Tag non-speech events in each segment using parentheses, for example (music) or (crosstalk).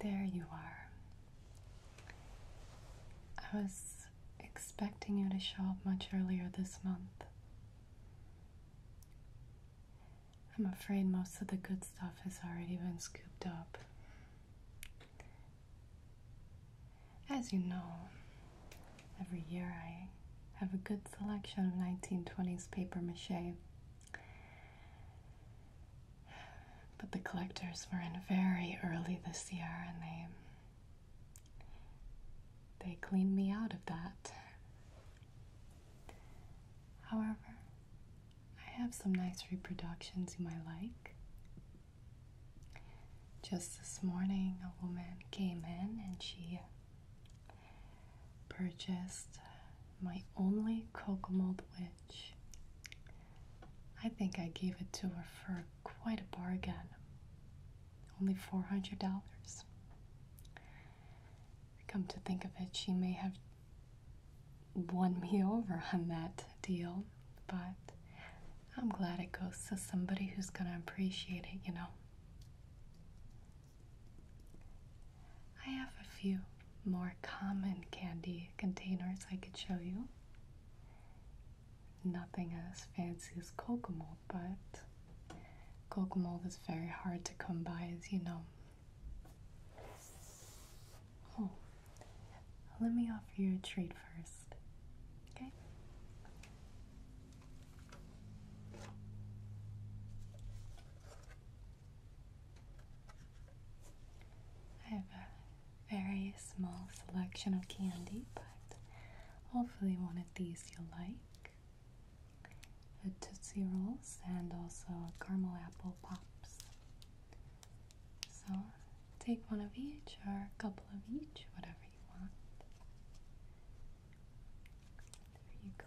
There you are. I was expecting you to show up much earlier this month. I'm afraid most of the good stuff has already been scooped up. As you know, every year I have a good selection of 1920s paper mache. But the collectors were in very early this year and they they cleaned me out of that. However, I have some nice reproductions you might like. Just this morning, a woman came in and she purchased my only Kokomold witch. I think I gave it to her for quite a bargain. Only $400. Come to think of it, she may have won me (laughs) over on that deal, but I'm glad it goes to somebody who's going to appreciate it, you know. I have a few more common candy containers I could show you. Nothing as fancy as cocoa mold, but cocoa mold is very hard to come by, as you know let me offer you a treat first. Okay? I have a very small selection of candy, but hopefully, one of these you'll like the Tootsie Rolls, and also caramel apple pops. So take one of each or a couple of each, whatever you want. There you go.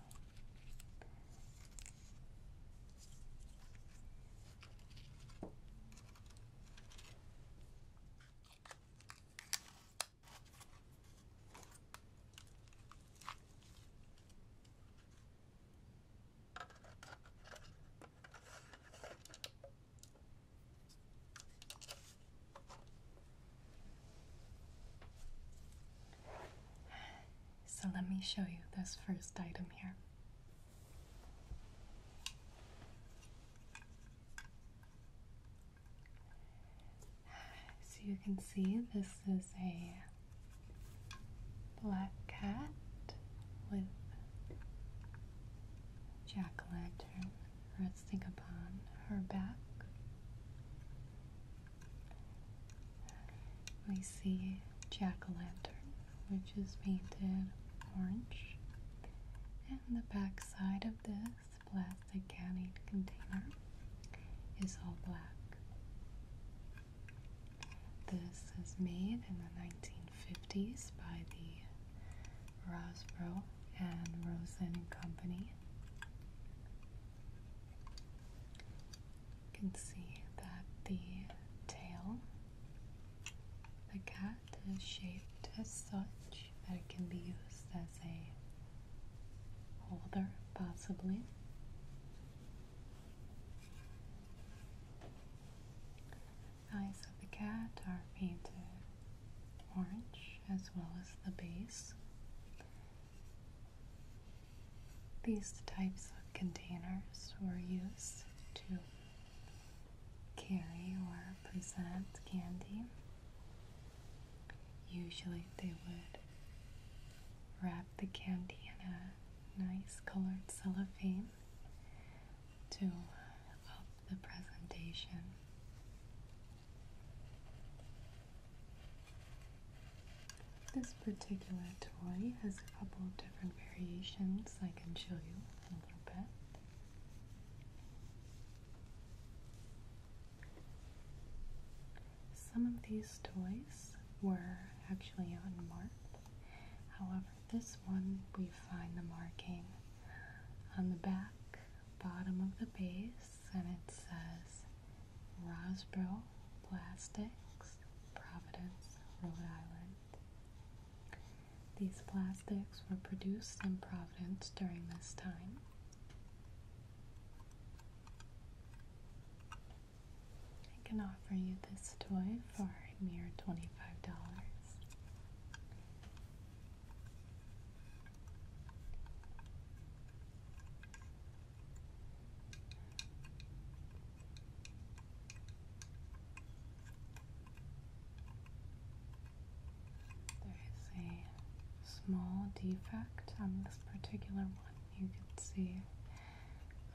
So let me show you this first item here. So you can see this is a black cat with jack-o'-lantern resting upon her back. We see jack-o'-lantern, which is painted orange, and the back side of this plastic canning container is all black. This is made in the 1950s by the Rosborough and Rosen Company. You can see that the tail, the cat is shaped as such that it can be used as a holder, possibly. The eyes of the cat are painted orange as well as the base. These types of containers were used to carry or present candy. Usually they would wrap the candy in a nice colored cellophane to uh, up the presentation. This particular toy has a couple of different variations I can show you in a little bit. Some of these toys were actually on unmarked. However, this one we find the marking on the back bottom of the base and it says Rosbro Plastics, Providence, Rhode Island. These plastics were produced in Providence during this time. I can offer you this toy for a mere $25. There is a small defect on this particular one you can see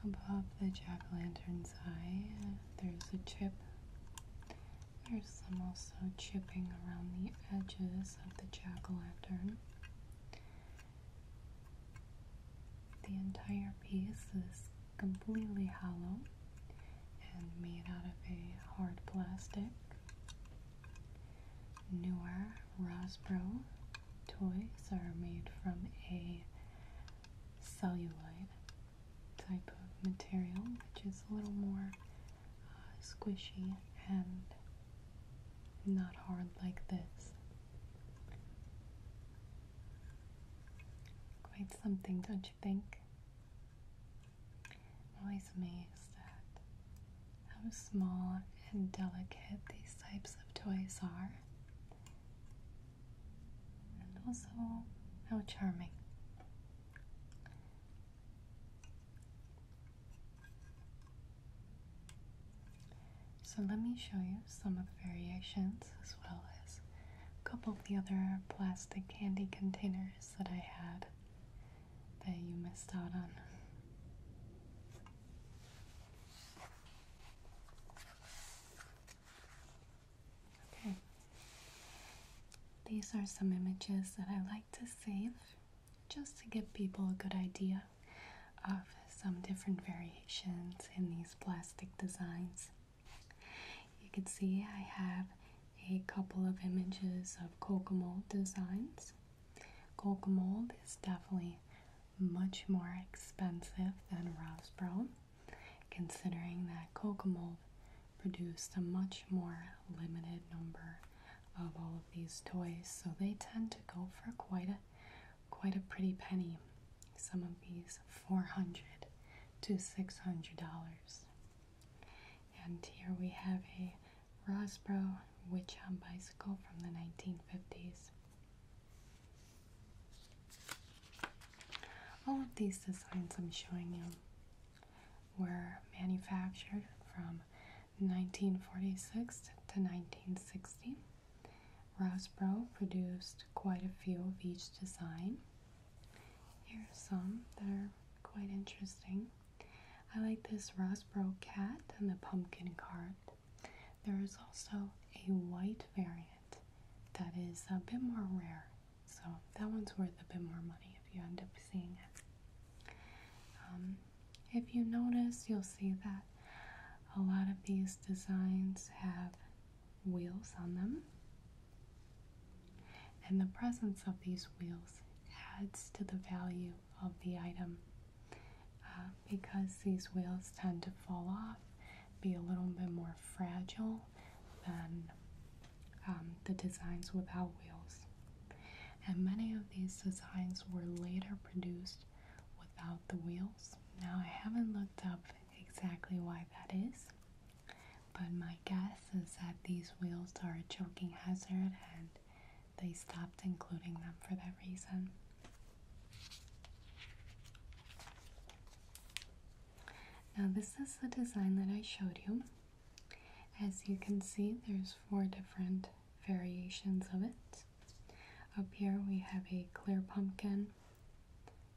above the jack-o'-lantern's eye there's a chip. There's some also chipping around the edges of the jack-o'-lantern. The entire piece is completely hollow and made out of a hard plastic. Newer Rosbro toys are made from a celluloid type of material, which is a little more uh, squishy and not hard like this. Quite something, don't you think? always amazed at how small and delicate these types of toys are, and also how charming. So let me show you some of the variations as well as a couple of the other plastic candy containers that I had that you missed out on. Okay, these are some images that I like to save just to give people a good idea of some different variations in these plastic designs. You can see I have a couple of images of Kokomo designs. Kokomo is definitely much more expensive than Rosbro, considering that Kokomold produced a much more limited number of all of these toys, so they tend to go for quite a quite a pretty penny. Some of these 400 to 600 dollars. And here we have a Rosbro on bicycle from the 1950s. All of these designs I'm showing you were manufactured from 1946 to 1960. Rosbro produced quite a few of each design. Here are some that are quite interesting. I like this Rosbro cat and the pumpkin cart. There is also a white variant that is a bit more rare, so that one's worth a bit more money if you end up seeing it. Um, if you notice, you'll see that a lot of these designs have wheels on them, and the presence of these wheels adds to the value of the item. Uh, because these wheels tend to fall off, be a little bit more fragile than um, the designs without wheels. And many of these designs were later produced without the wheels. Now, I haven't looked up exactly why that is, but my guess is that these wheels are a choking hazard and they stopped including them for that reason. Now, this is the design that I showed you. As you can see, there's four different variations of it. Up here we have a clear pumpkin.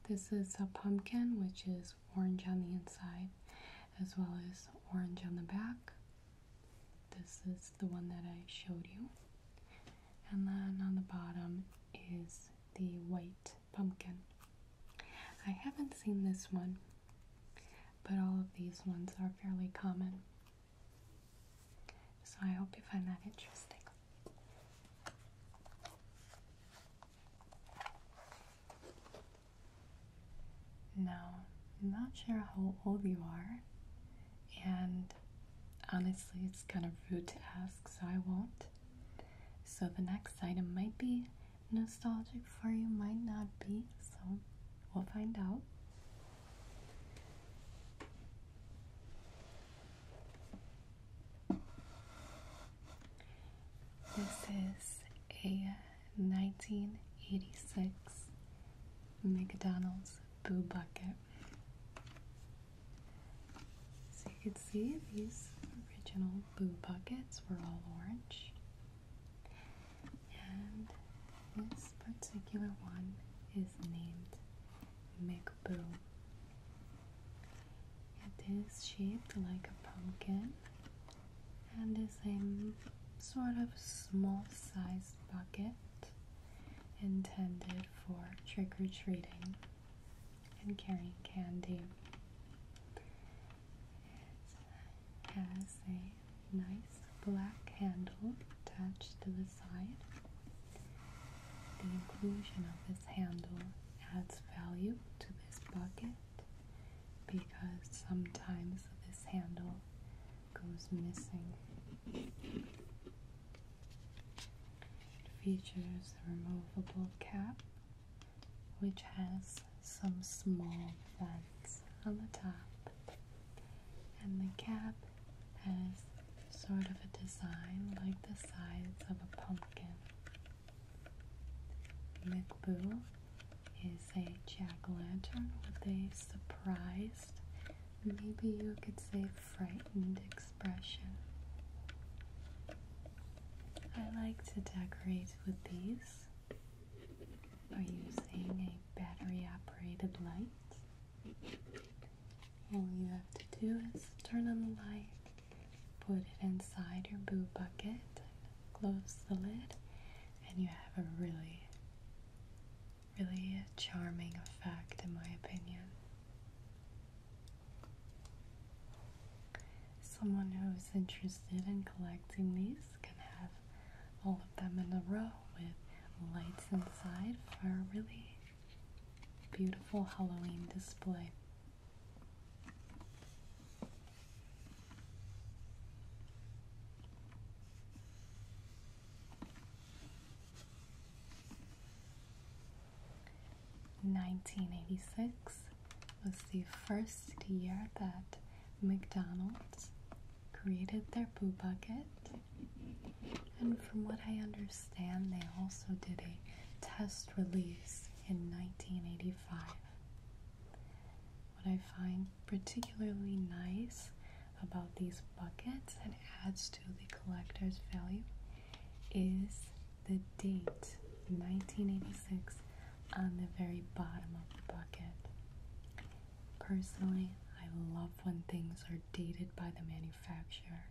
This is a pumpkin which is orange on the inside as well as orange on the back. This is the one that I showed you. And then on the bottom is the white pumpkin. I haven't seen this one, but all of these ones are fairly common. So I hope you find that interesting. Now, I'm not sure how old you are, and honestly, it's kind of rude to ask, so I won't. So, the next item might be nostalgic for you, might not be, so we'll find out. This is a 1986 McDonald's boo bucket. So you can see these original boo buckets were all orange. And this particular one is named McBoo. It is shaped like a pumpkin and is a sort of small sized bucket intended for trick or treating and carrying candy. It has a nice black handle attached to the side. The inclusion of this handle adds value to this bucket because sometimes this handle goes missing it features a removable cap which has some small vents on the top, and the cap has sort of a design like the sides of a pumpkin. McBoo is a jack-o'-lantern with a surprised, maybe you could say frightened expression. I like to decorate with these by using a battery operated light. All you have to do is turn on the light, put it inside your boo bucket, close the lid, and you have a really really charming effect in my opinion. Someone who's interested in collecting these can have all of them in a row with lights inside for a really beautiful Halloween display. 1986 was the first year that McDonald's created their Boo Bucket. And from what I understand, they also did a test release in 1985. What I find particularly nice about these buckets and adds to the collector's value is the date 1986 on the very bottom of the bucket. Personally, I love when things are dated by the manufacturer.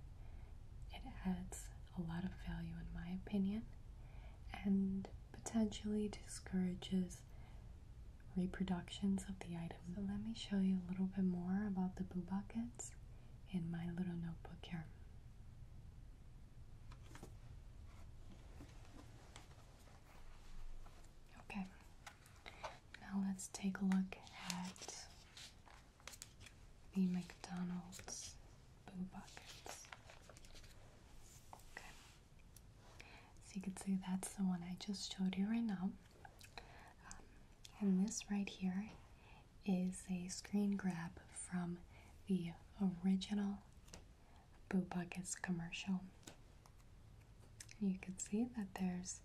It adds a lot of value, in my opinion, and potentially discourages reproduction of the items. So let me show you a little bit more about the boo buckets in my little notebook here. Okay, now let's take a look at the McDonald's boo buckets. Okay, so you can see that's the one I just showed you right now. Um, and this right here is a screen grab from the original Boo Buckets commercial. You can see that there's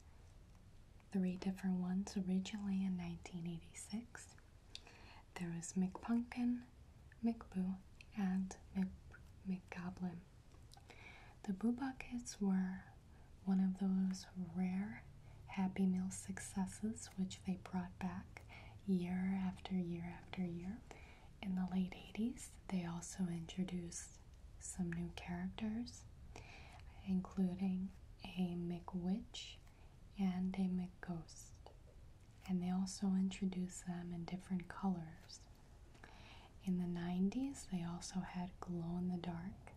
three different ones originally in 1986. There was McPumpkin, McBoo, and Mc McGoblin. The Boo Buckets were one of those rare Happy Meal successes which they brought back year after year after year. In the late 80s, they also introduced some new characters, including a Witch and a Ghost, And they also introduced them in different colors. In the 90s, they also had glow in the dark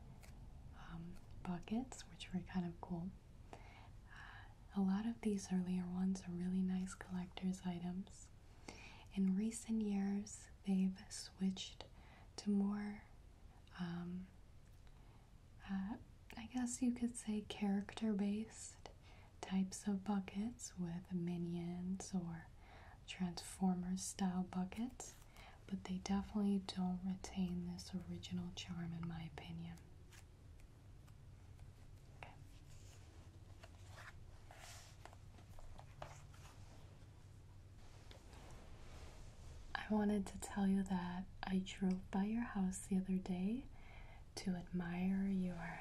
um, buckets, which were kind of cool. Uh, a lot of these earlier ones are really nice collector's items. In recent years, they've switched to more, um, uh, I guess you could say, character based types of buckets with minions or Transformers style buckets but they definitely don't retain this original charm, in my opinion. I wanted to tell you that I drove by your house the other day to admire your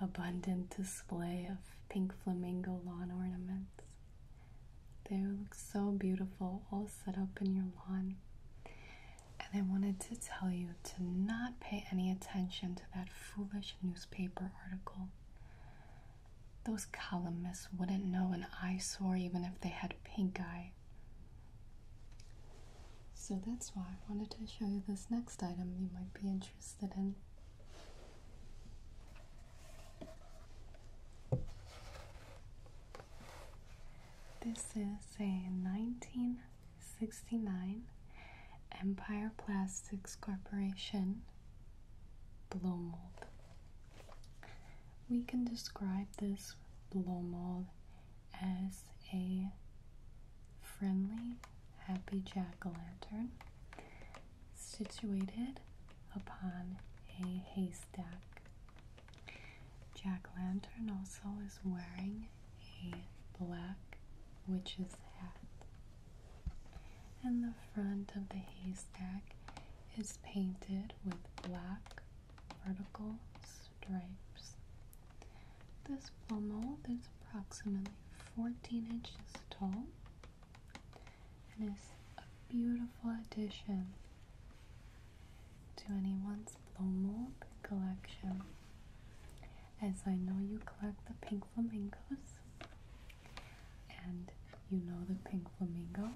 abundant display of pink flamingo lawn ornaments. They look so beautiful, all set up in your lawn. And I wanted to tell you to not pay any attention to that foolish newspaper article. Those columnists wouldn't know an eyesore even if they had pink eye. So that's why I wanted to show you this next item you might be interested in. This is a 1969 Empire Plastics Corporation blow mold. We can describe this blow mold as a friendly, happy jack o' lantern situated upon a haystack. Jack Lantern also is wearing a black witch's hat. And the front of the haystack is painted with black vertical stripes. This blow mold is approximately 14 inches tall and is a beautiful addition to anyone's blow mold collection. As I know you collect the pink flamingos, and you know the pink flamingo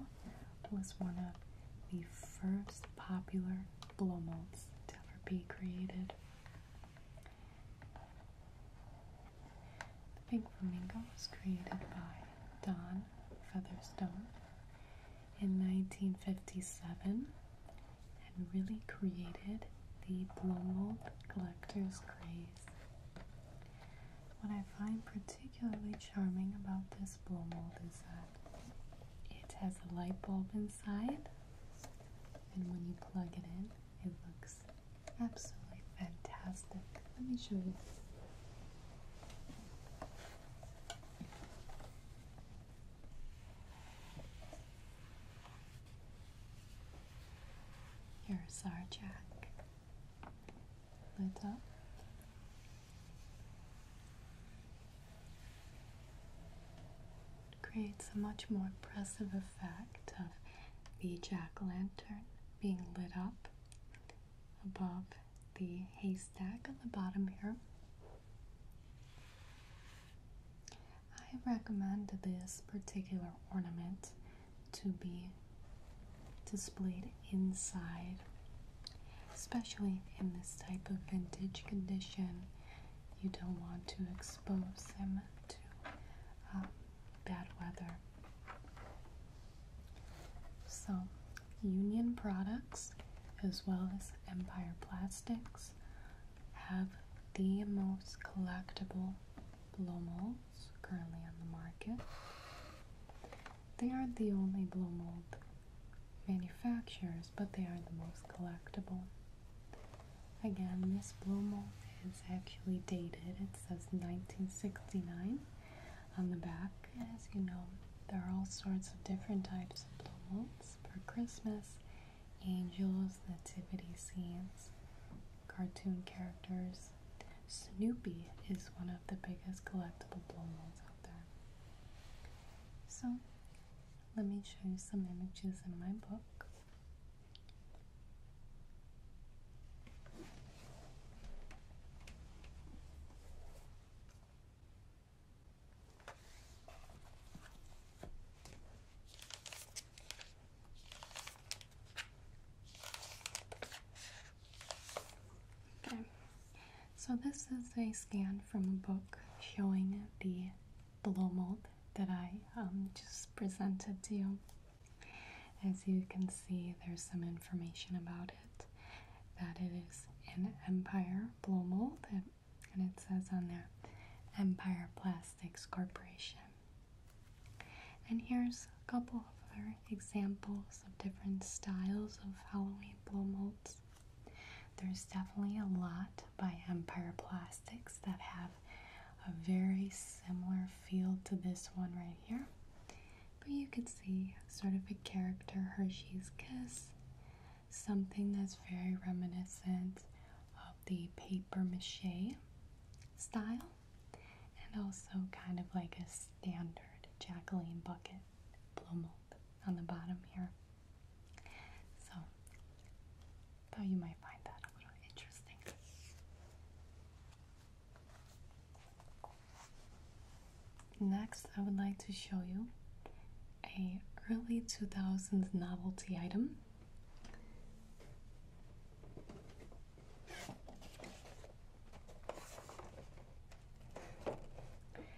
was one of the first popular blow molds to ever be created. The Pink Flamingo was created by Don Featherstone in 1957 and really created the blow mold collector's craze. What I find particularly charming about this blow mold is that it has a light bulb inside, and when you plug it in, it looks absolutely fantastic. Let me show you. Here's our jack lit up. It creates a much more impressive effect of the jack lantern being lit up above the haystack on the bottom here. I recommend this particular ornament to be displayed inside, especially in this type of vintage condition. You don't want to expose them to um, bad weather. So, Union Products as well as Empire Plastics have the most collectible blow molds currently on the market. They aren't the only blow mold manufacturers, but they are the most collectible. Again, this blow mold is actually dated. It says 1969, on the back. As you know, there are all sorts of different types of blow molds for Christmas angels, nativity scenes, cartoon characters. Snoopy is one of the biggest collectible blow molds out there. So, let me show you some images in my book. Okay, so this is a scan from a book showing the blow mold that I um, just presented to you. As you can see, there's some information about it that it is an Empire blow mold, and it says on there Empire Plastics Corporation. And here's a couple of other examples of different styles of Halloween blow molds. There's definitely a lot by Empire Plastics that have a very similar feel to this one right here. But you could see sort of a character Hershey's Kiss, something that's very reminiscent of the paper mache style, and also kind of like a standard Jacqueline bucket blow on the bottom here. So, thought you might find that a little interesting. Next, I would like to show you a early 2000s novelty item.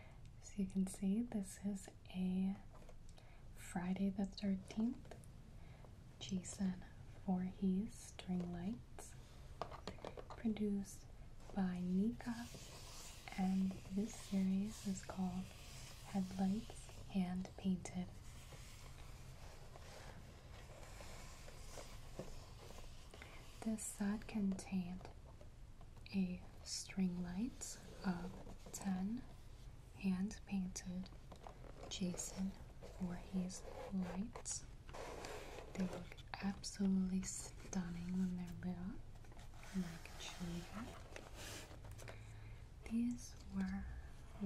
As you can see, this is a Friday the 13th Jason Voorhees string lights produced by Nika, and this series is called Headlights Hand Painted. This set contained a string light of 10 hand painted Jason Voorhees lights. They look absolutely stunning when they're lit up, and These were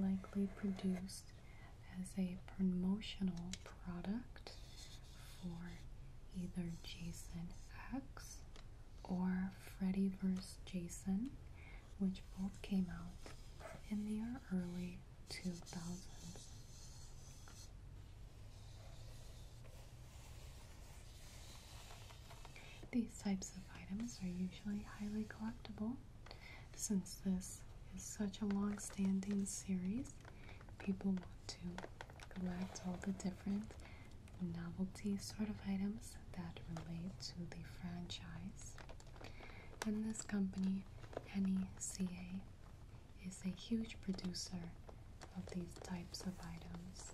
likely produced as a promotional product for either Jason X or Freddy vs. Jason, which both came out in the early two thousand. These types of items are usually highly collectible. Since this is such a long standing series, people want to collect all the different novelty sort of items that relate to the franchise. And this company, NECA, is a huge producer of these types of items.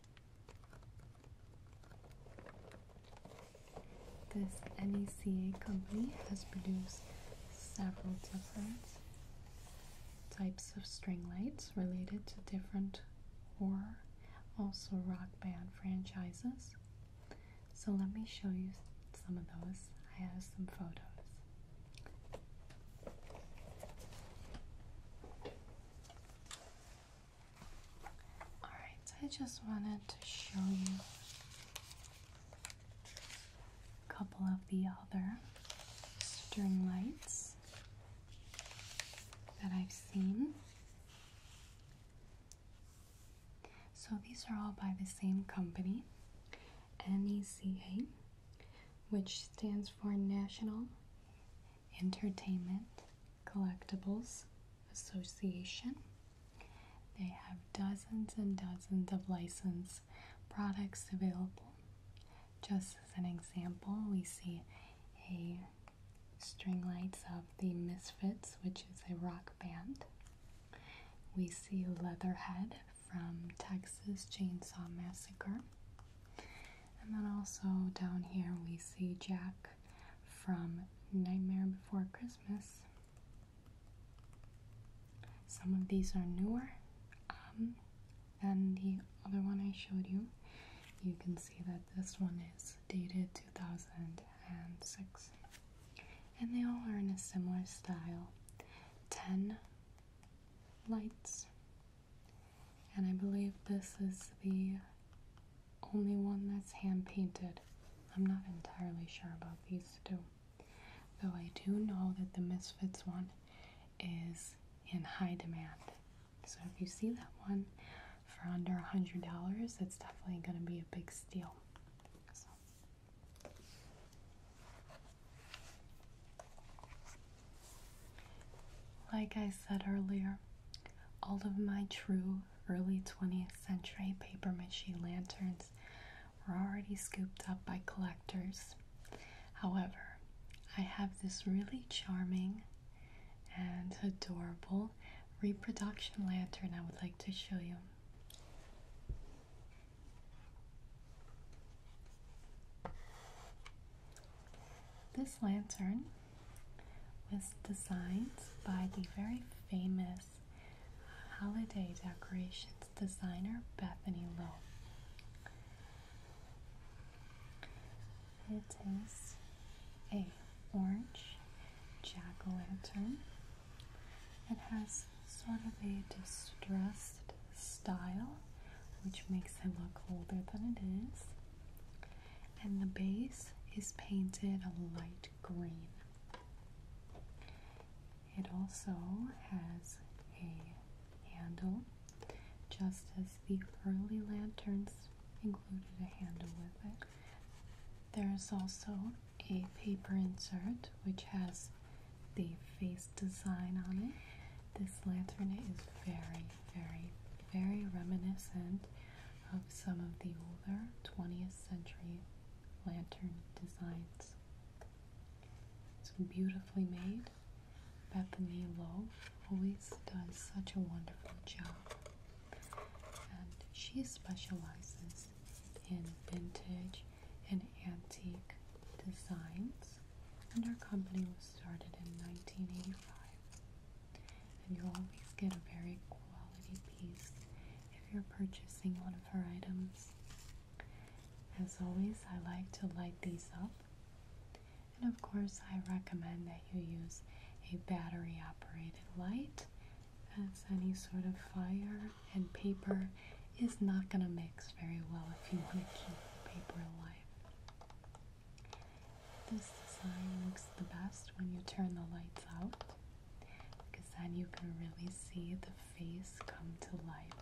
This NECA company has produced several different types of string lights related to different horror, also rock band franchises. So let me show you some of those. I have some photos. Alright, I just wanted to show you a couple of the other string lights that I've seen. So these are all by the same company, NECA, which stands for National Entertainment Collectibles Association. They have dozens and dozens of licensed products available. Just as an example, we see a string lights of the Misfits, which is a rock band. We see Leatherhead from Texas Chainsaw Massacre. And then also down here we see Jack from Nightmare Before Christmas. Some of these are newer um, than the other one I showed you. You can see that this one is dated 2006. And they all are in a similar style 10 lights and I believe this is the only one that's hand painted. I'm not entirely sure about these two. Though I do know that the Misfits one is in high demand. So if you see that one for under a $100, it's definitely going to be a big steal. Like I said earlier, all of my true early 20th century paper mache lanterns were already scooped up by collectors. However, I have this really charming and adorable reproduction lantern I would like to show you. This lantern was designed by the very famous holiday decorations designer Bethany Lowe. It is a orange jack-o'-lantern. It has sort of a distressed style, which makes it look older than it is and the base is painted a light green. It also has a handle, just as the early lanterns included a handle with it. There is also a paper insert which has the face design on it. This lantern is very very, very reminiscent of some of the older 20th century lantern designs. It's beautifully made. Bethany Lowe always does such a wonderful job. And she specializes in vintage and antique designs and our company was started in 1985. And you always get a very quality piece if you're purchasing one of her items. As always, I like to light these up. And of course, I recommend that you use a battery operated light, as any sort of fire and paper is not going to mix very well if you want to keep the paper alive. This design looks the best when you turn the lights out because then you can really see the face come to life.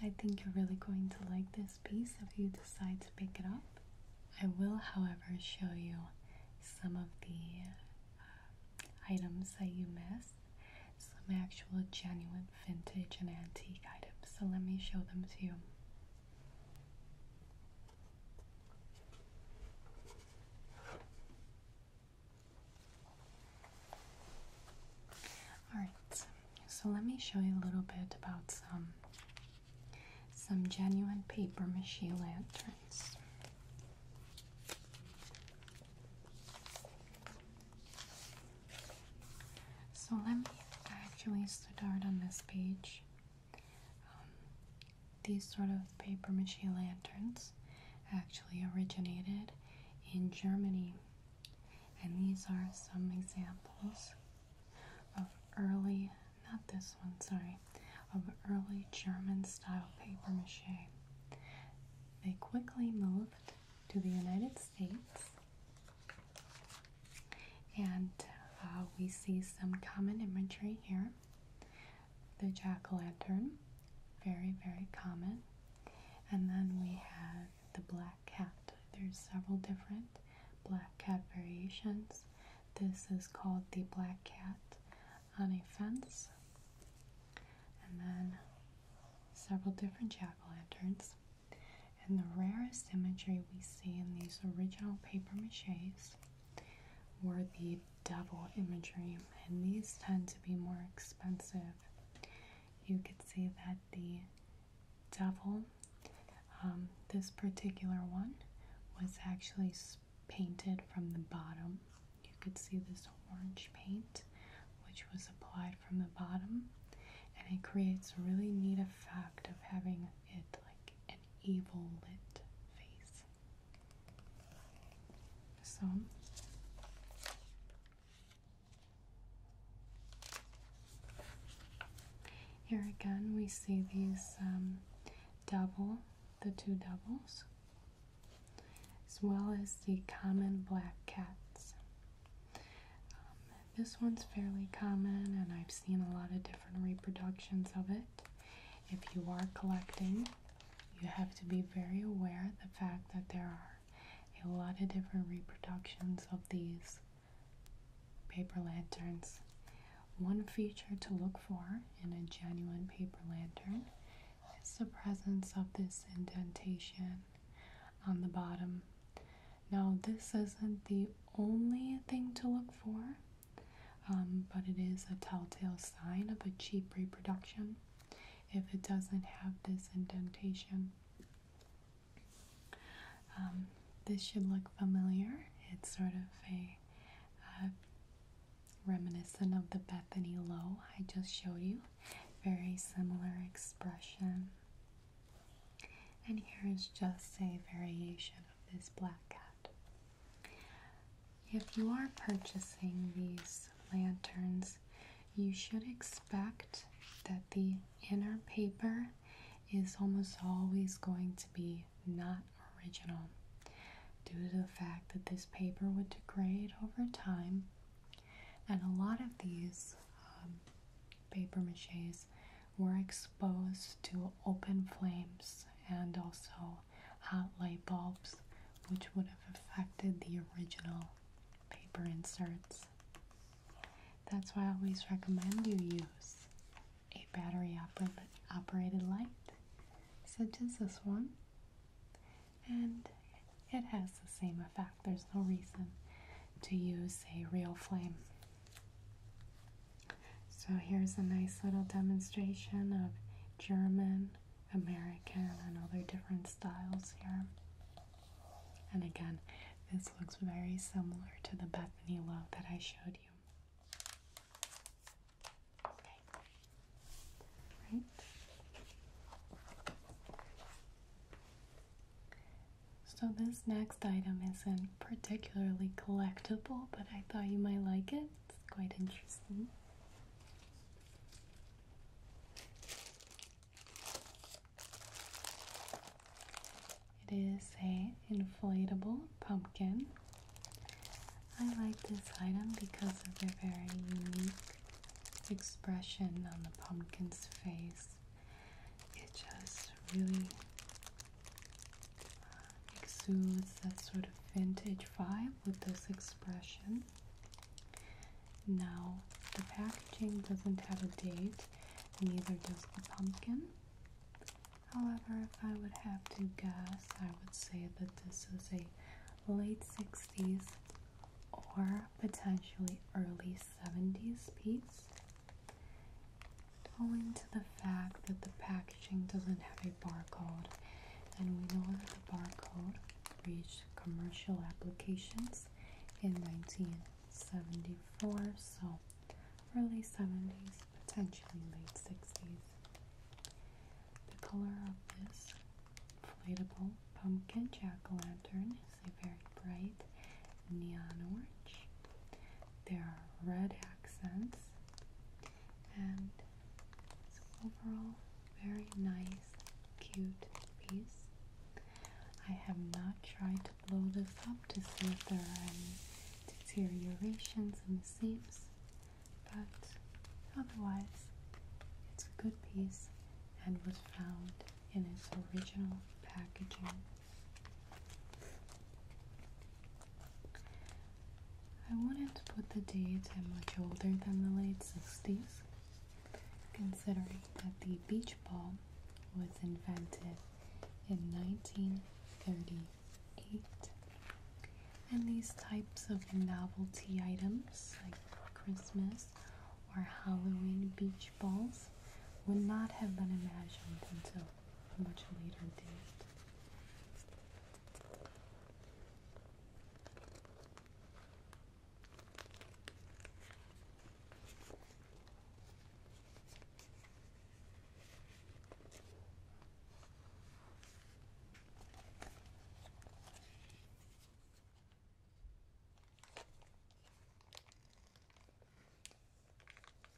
I think you're really going to like this piece if you decide to pick it up. I will, however, show you some of the uh, items that you missed, some actual genuine vintage and antique items. So, let me show them to you. Alright, so let me show you a little bit about some some genuine paper mache lanterns. So let me actually start on this page um, these sort of paper mache lanterns actually originated in Germany, and these are some examples of early, not this one, sorry, of early German style paper mache. They quickly moved to the United States and uh, we see some common imagery here. The jack o' lantern, very, very common. And then we have the black cat. There's several different black cat variations. This is called the black cat on a fence. And then several different jack o' lanterns. And the rarest imagery we see in these original paper maches were the devil imagery, and these tend to be more expensive. You could see that the devil, um, this particular one, was actually painted from the bottom. You could see this orange paint, which was applied from the bottom, and it creates a really neat effect of having it like an evil lit face. So here again we see these um, double, the two doubles, as well as the common black cats. Um, this one's fairly common, and I've seen a lot of different reproductions of it. If you are collecting, you have to be very aware of the fact that there are a lot of different reproductions of these paper lanterns. One feature to look for in a genuine paper lantern is the presence of this indentation on the bottom. Now, this isn't the only thing to look for, um, but it is a telltale sign of a cheap reproduction if it doesn't have this indentation. Um, this should look familiar. It's sort of a reminiscent of the Bethany Lowe I just showed you. Very similar expression. And here is just a variation of this black cat. If you are purchasing these lanterns, you should expect that the inner paper is almost always going to be not original due to the fact that this paper would degrade over time and a lot of these um, paper mache's were exposed to open flames and also hot light bulbs, which would have affected the original paper inserts. That's why I always recommend you use a battery operated light, such as this one. And it has the same effect. There's no reason to use a real flame. So here's a nice little demonstration of German, American, and other different styles here. And again, this looks very similar to the Bethany low that I showed you. Okay. Right. So, this next item isn't particularly collectible, but I thought you might like it. It's quite interesting. It is a inflatable pumpkin. I like this item because of the very unique expression on the pumpkin's face. It just really exudes that sort of vintage vibe with this expression. Now, the packaging doesn't have a date, neither does the pumpkin. However, if I would have to guess, I would say that this is a late 60s or potentially early 70s piece. Owing to the fact that the packaging doesn't have a barcode, and we know that the barcode reached commercial applications in 1974, so early 70s, potentially late 60s. The color of this inflatable pumpkin jack-o'-lantern is a very bright neon orange. There are red accents and overall very nice cute piece. I have not tried to blow this up to see if there are any deteriorations in the seams but otherwise it's a good piece and was found in its original packaging. I wanted to put the date much older than the late 60s, considering that the beach ball was invented in 1938. And these types of novelty items, like Christmas or Halloween beach balls, would not have been imagined until a much later date.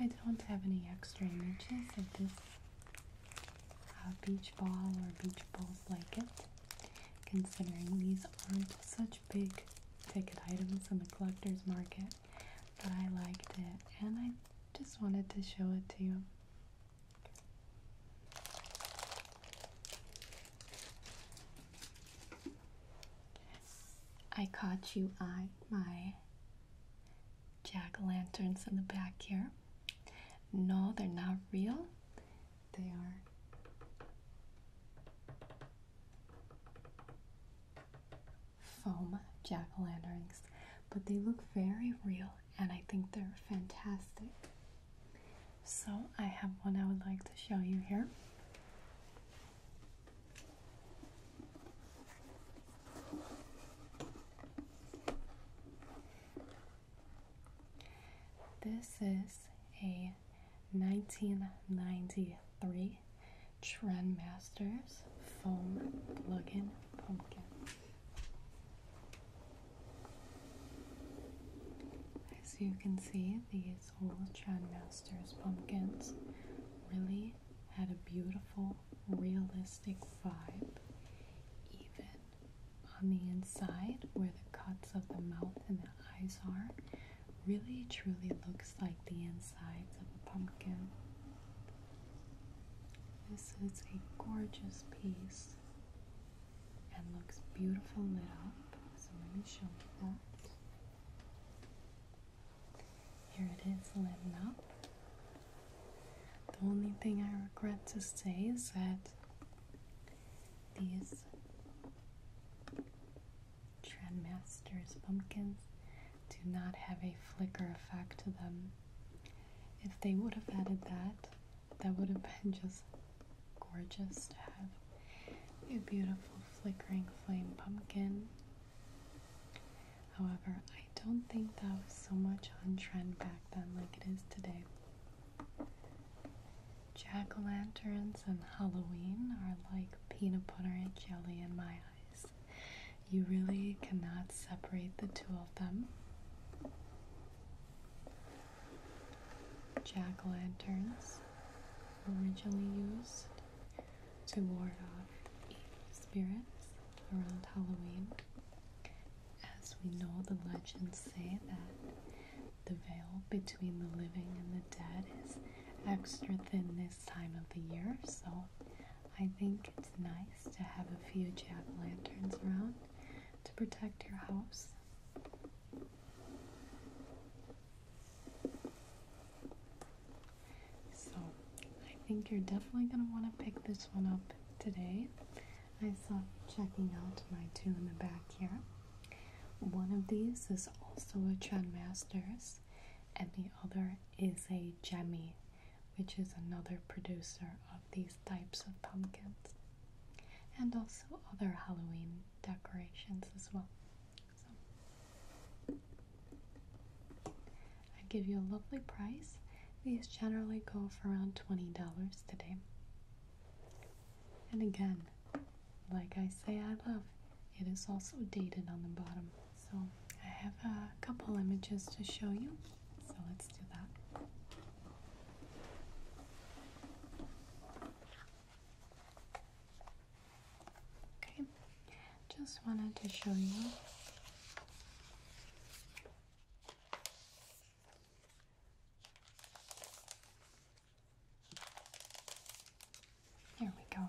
I don't have any extra images of this beach ball or beach balls like it, considering these aren't such big ticket items in the collector's market, but I liked it and I just wanted to show it to you. I caught you eye my jack lanterns in the back here. No, they're not real. They are foam jack lanterns, but they look very real and I think they're fantastic. So, I have one I would like to show you here. This is a 1993 Trendmasters foam plug-in pumpkin. As you can see, these old Chadmasters pumpkins really had a beautiful, realistic vibe, even on the inside where the cuts of the mouth and the eyes are. Really truly looks like the insides of a pumpkin. This is a gorgeous piece and looks beautiful lit up. So let me show you that. Here it is lit up. The only thing I regret to say is that these Trendmasters pumpkins do not have a flicker effect to them. If they would have added that, that would have been just gorgeous to have a beautiful flickering flame pumpkin. However, I don't think that was so much on trend back then like it is today. Jack o' lanterns and Halloween are like peanut butter and jelly in my eyes. You really cannot separate the two of them jack lanterns originally used to ward off evil spirits around Halloween. As we know, the legends say that the veil between the living and the dead is extra thin this time of the year, so I think it's nice to have a few jack lanterns around to protect your house so, I think you're definitely going to want to pick this one up today. I saw checking out my two in the back here. One of these is also a Trendmasters, and the other is a Jemmy, which is another producer of these types of pumpkins and also other Halloween decorations as well. I give you a lovely price. These generally go for around $20 today. And again, like I say, I love it is also dated on the bottom. So I have a couple images to show you. So let's do that. Okay, just wanted to show you there we go.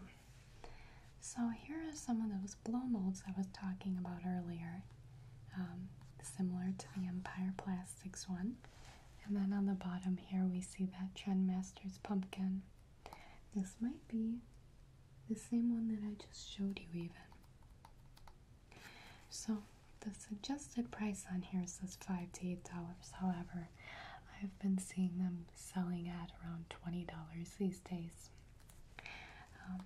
So here are some of those blow molds I was talking about earlier, um, similar to the Empire Plastics one. And then on the bottom here, we see that Trendmaster's pumpkin. This might be the same one that I just showed you, even. So, the suggested price on here says 5 to $8. However, I've been seeing them selling at around $20 these days. Um,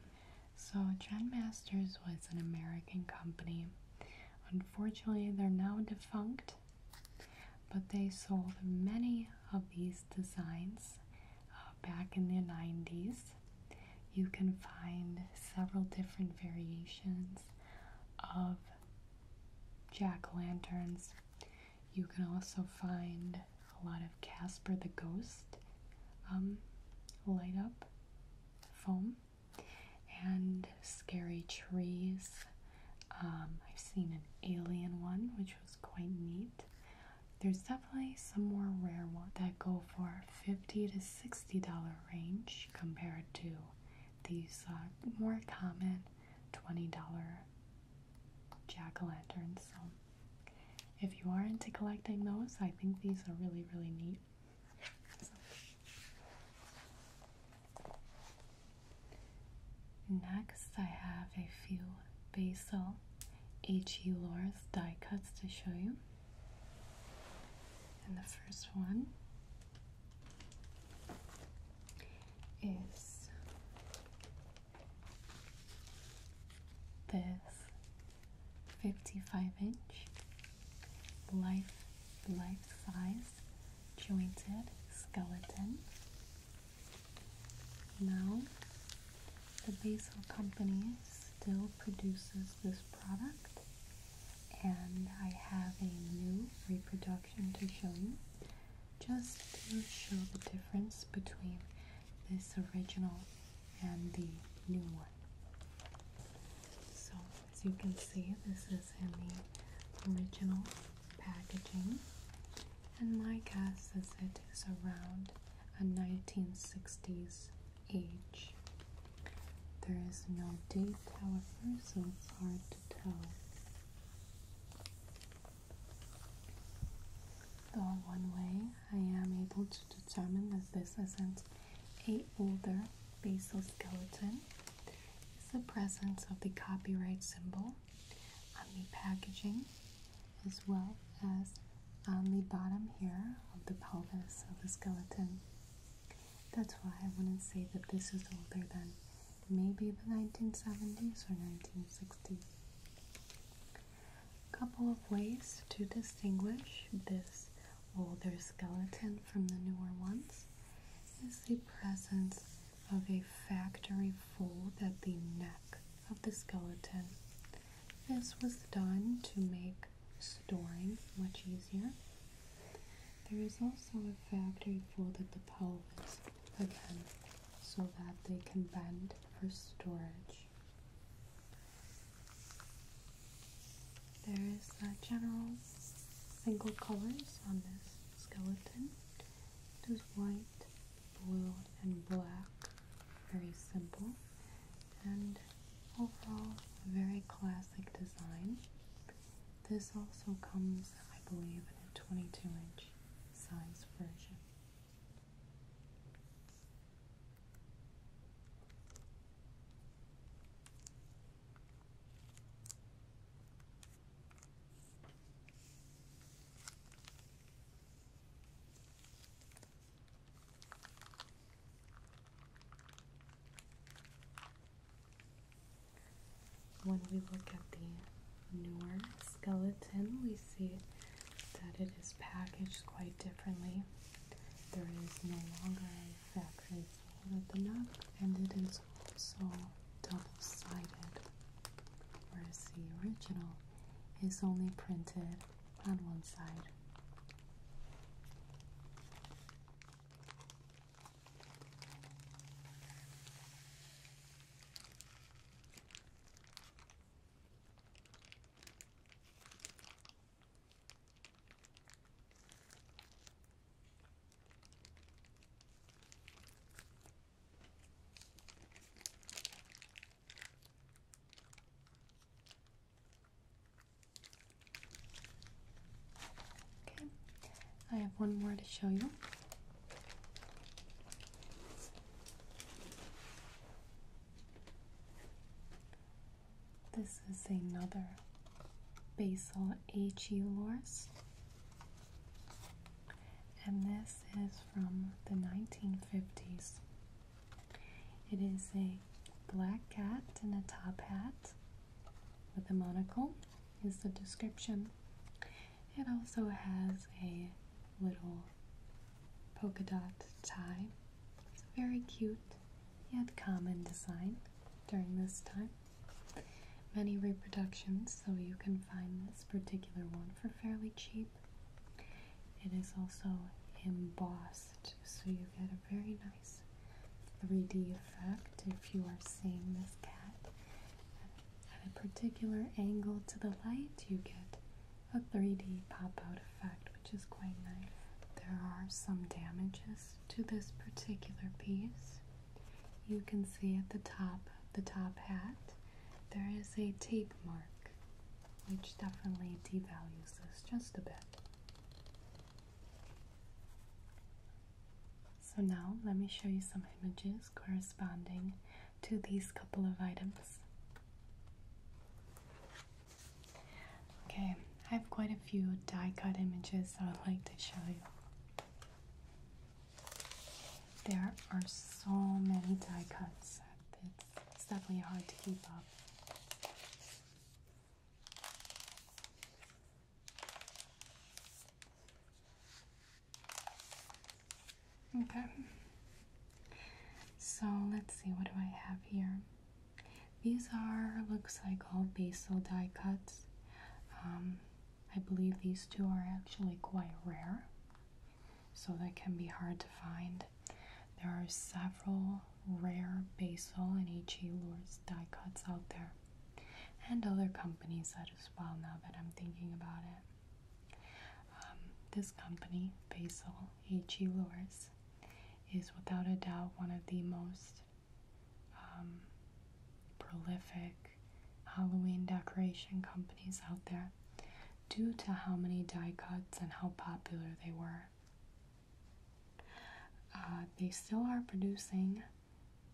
so, Trendmasters was an American company Unfortunately, they're now defunct, but they sold many of these designs uh, back in the 90s. You can find several different variations of jack lanterns. You can also find a lot of Casper the Ghost um, light up foam and scary trees. Um, I've seen an alien one, which was quite neat. There's definitely some more rare ones that go for 50 to $60 range compared to these uh, more common $20 jack o' lanterns. So, if you are into collecting those, I think these are really, really neat. Next, I have a few basal H.E. Loris die cuts to show you. And the first one is this 55 inch life life-size jointed skeleton. Now the Basil Company still produces this product and I have a new reproduction to show you just to show the difference between this original and the new one. So as you can see, this is in the original packaging, and my guess is it is around a 1960s age. There is no date, however, so it's hard to tell. Though one way I am able to determine that this isn't a older basal skeleton is the presence of the copyright symbol on the packaging as well as on the bottom here of the pelvis of the skeleton. That's why I wouldn't say that this is older than maybe the 1970s or 1960s. A couple of ways to distinguish this older skeleton from the newer ones is the presence of a factory fold at the neck of the skeleton. This was done to make storing much easier. There is also a factory fold at the pelvis, again, so that they can bend for storage. There is uh, general single colors on this skeleton. It is white, blue, and black. Very simple. And overall, very classic design. This also comes, I believe, in a 22 inch size version. When we look at the newer skeleton, we see that it is packaged quite differently. There is no longer factory fold at the neck, and it is also double-sided, whereas the original is only printed on one side. Okay, I have one more to show you. This is another basil achiolors. And this is from the 1950s. It is a black cat in a top hat with a monocle, is the description. It also has a little polka dot tie. It's very cute yet common design during this time. Many reproductions, so you can find this particular one for fairly cheap. It is also embossed, so you get a very nice 3D effect if you are seeing this cat at a particular angle to the light. You get a 3D pop out effect, which is quite nice. There are some damages to this particular piece. You can see at the top the top hat there is a tape mark, which definitely devalues this just a bit. So now let me show you some images corresponding to these couple of items. Okay, I have quite a few die cut images that I'd like to show you. There are so many die cuts, it's, it's definitely hard to keep up. Okay, so let's see, what do I have here? These are, looks like all basil die cuts. Um, I believe these two are actually quite rare, so they can be hard to find. There are several rare basil and HE lures die cuts out there, and other companies that as well now that I'm thinking about it. Um, this company, Basil HE Lures, is without a doubt one of the most um, prolific Halloween decoration companies out there due to how many die cuts and how popular they were. Uh, they still are producing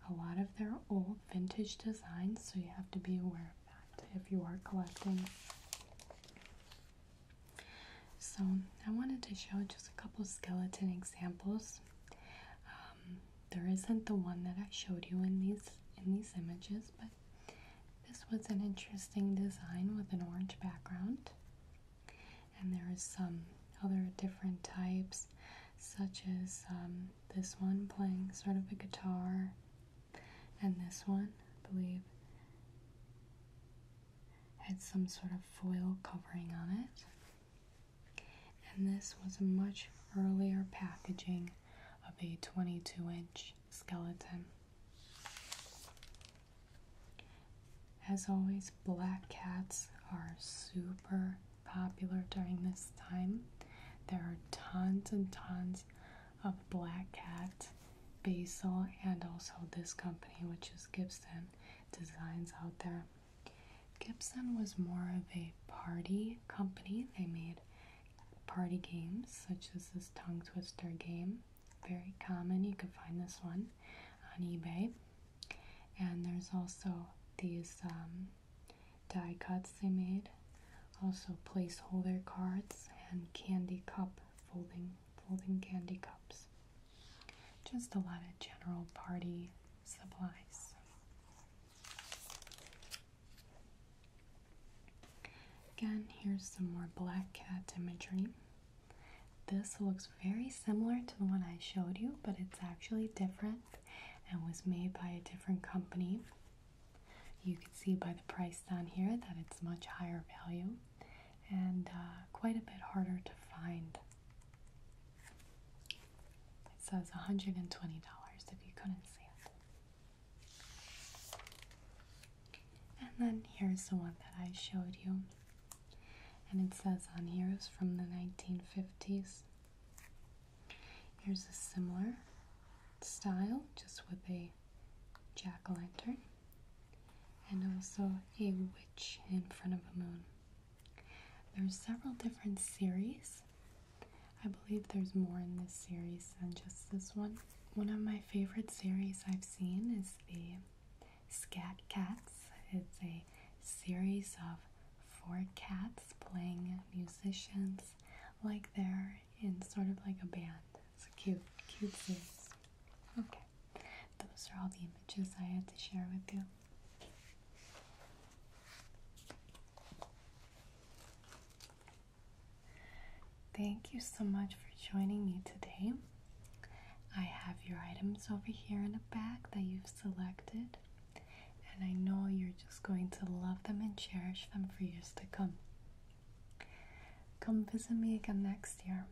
a lot of their old vintage designs, so you have to be aware of that if you are collecting. So, I wanted to show just a couple skeleton examples um, there isn't the one that I showed you in these in these images, but this was an interesting design with an orange background. And there is some other different types, such as um, this one playing sort of a guitar, and this one, I believe, had some sort of foil covering on it. And this was a much earlier packaging of a 22 inch skeleton. As always, black cats are super popular during this time. There are tons and tons of black cat, basil, and also this company, which is Gibson Designs, out there. Gibson was more of a party company. They made party games such as this tongue twister game. Very common. You could find this one on eBay. And there's also these um, die cuts they made, also placeholder cards and candy cup folding folding candy cups. Just a lot of general party supplies. Again, here's some more black cat imagery. This looks very similar to the one I showed you, but it's actually different and was made by a different company. You can see by the price down here that it's much higher value and uh, quite a bit harder to find it says $120 if you couldn't see it. And then here's the one that I showed you. And it says on here is from the 1950s. Here's a similar style, just with a jack o' lantern and also a witch in front of a moon. There's several different series. I believe there's more in this series than just this one. One of my favorite series I've seen is the Scat Cats. It's a series of four cats playing musicians like they're in sort of like a band. It's a cute, cute series. Okay, those are all the images I had to share with you. Thank you so much for joining me today. I have your items over here in the bag that you've selected, and I know you're just going to love them and cherish them for years to come. Come visit me again next year.